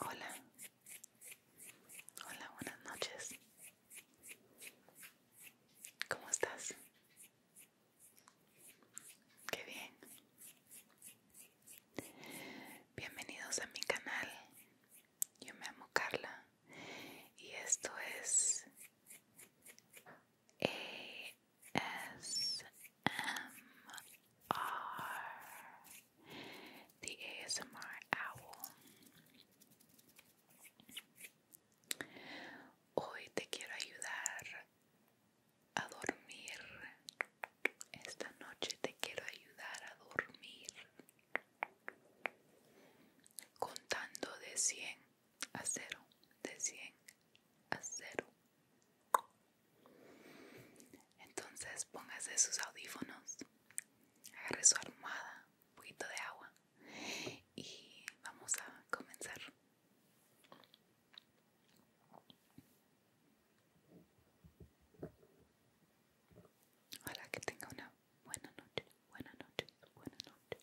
Hola, hola, buenas noches. ¿Cómo estás? Qué bien. Bienvenidos a mi canal. Yo me llamo Carla y esto es ASMR, the ASMR Owl. Hoy te quiero ayudar a dormir. Esta noche te quiero ayudar a dormir. Contando de 100 a 0, de 100 a 0. Entonces póngase sus audífonos, agarre su armada un poquito de agua y vamos a comenzar. Hola, que tenga una buena noche, buena noche, buena noche.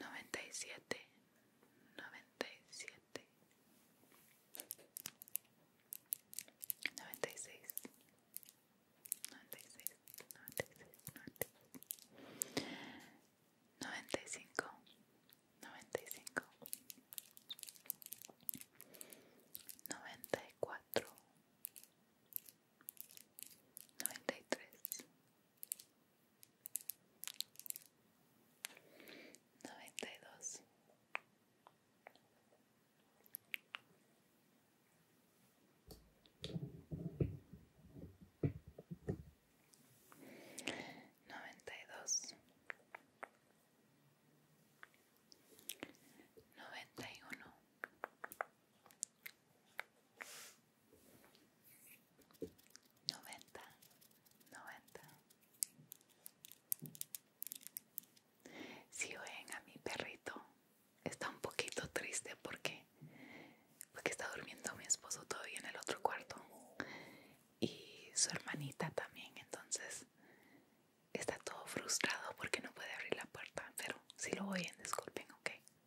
noventa y siete, noventa y siete, noventa y seis, noventa y cinco, noventa y cinco, noventa y cuatro, noventa y tres, Noventa y dos. Noventa y dos. Noventa y uno. 90, 90. Si oyen a mi perrito, está un poquito triste porque, porque está durmiendo mi esposo todavía en el otro cuarto y su hermanita también, entonces está todo frustrado porque no puede abrir la puerta, pero si lo oyen, disculpen, ok.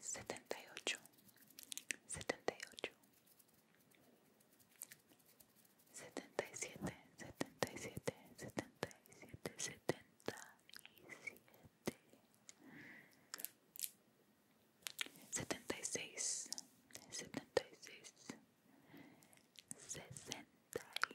setenta y ocho, setenta y ocho, setenta y siete, setenta y siete, setenta y siete, setenta y siete, setenta y seis, setenta y seis, sesenta y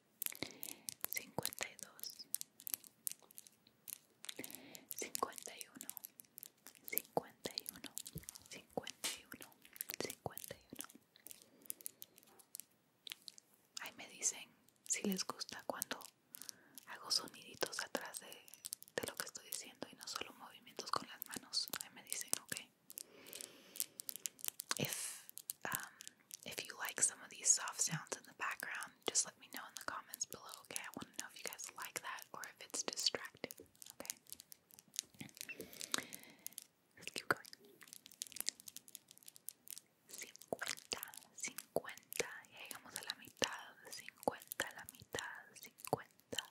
52 51 51 51 51 Ahí me dicen si les gusta cuando hago soniditos atrás de, de lo que estoy diciendo y no solo movimientos con las manos. Ahí me dicen, ok. If um, if you like some of these soft sounds in the background, just let me know in the comments below. Okay, I want to know if you guys like that or if it's distracting. Okay. keep going. 50, 50, llegamos a la mitad, 50, la mitad, 50, 54, 54,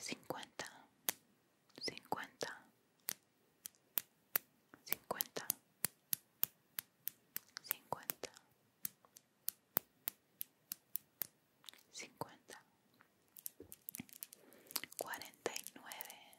cincuenta, cincuenta, cincuenta, cincuenta, cincuenta, cuarenta y nueve.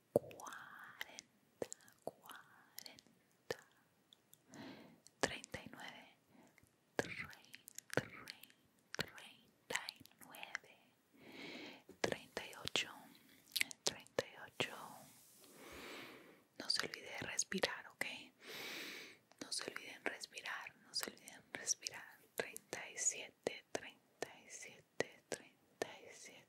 cuarenta, cuarenta, treinta y nueve, treinta y nueve, treinta y ocho, treinta y ocho. No se olvide de respirar, ¿ok? No se olviden respirar, no se olviden respirar. Treinta y siete, treinta y siete, treinta y siete.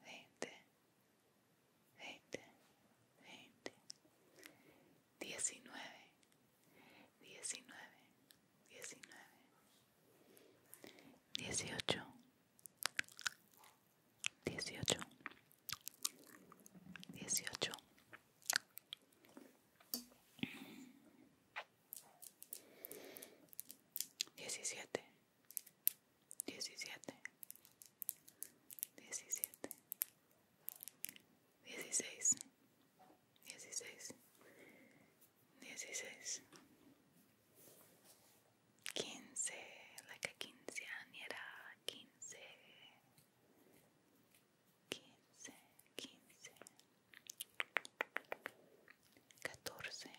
veinte, veinte, veinte, diecinueve, diecinueve, diecinueve, dieciocho, dieciocho, dieciocho. Diecisiete, diecisiete, diecisiete, dieciséis, dieciséis, dieciséis, quince, la que era quince, quince, quince, catorce. 15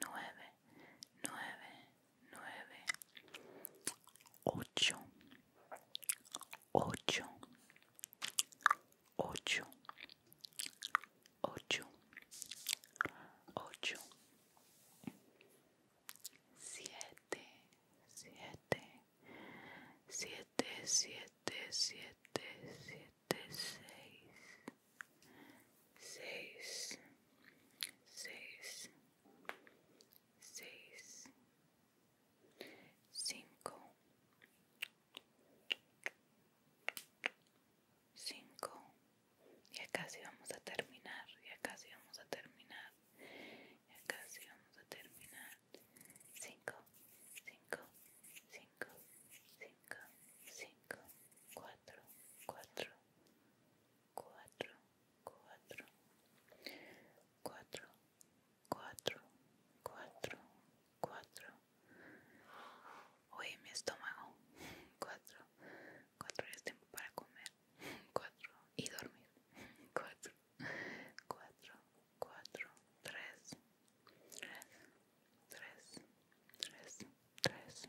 nueve, nueve, nueve, ocho, ocho, ocho, ocho, ocho, siete, siete, siete, siete, siete, siete, seis seis, seis, seis, cinco, cinco, acá casi vamos a terminar, acá casi vamos a terminar, acá casi vamos a terminar, cinco, cinco, cinco, cinco, cinco, cuatro, cuatro, cuatro, cuatro, cuatro, cuatro, cuatro, cuatro. Oye, mi estómago. Cuatro, cuatro es tiempo para comer. Cuatro y dormir. Cuatro, cuatro, cuatro, tres, tres, tres, tres, tres,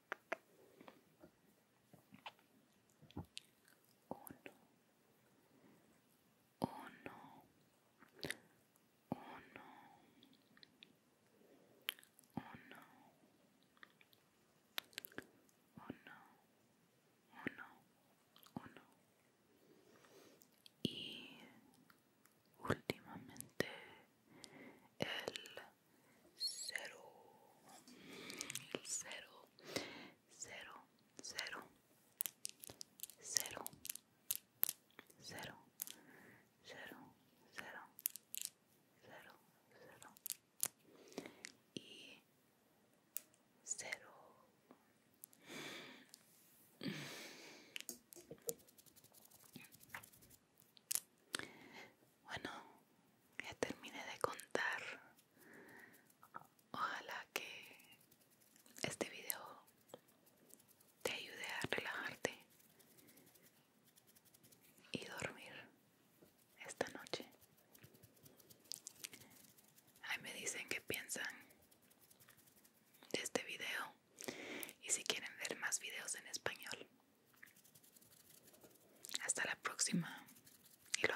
uno, uno, uno, uno, uno, uno. Y últimamente el cero cero cero cero cero cero cero cero cero cero y cero bueno, ya terminé de contar. Ojalá que este video te ayude a relajarte y dormir esta noche. Ahí me dicen que piensan de este video y si quieren ver más videos en español hasta la próxima. Y lo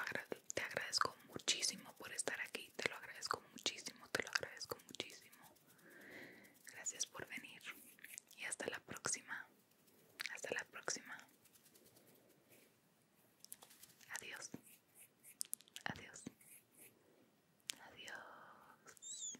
te agradezco muchísimo por estar aquí. Te lo agradezco muchísimo, te lo agradezco muchísimo. Gracias por venir. Y hasta la próxima. Hasta la próxima. Adiós. Adiós. Adiós.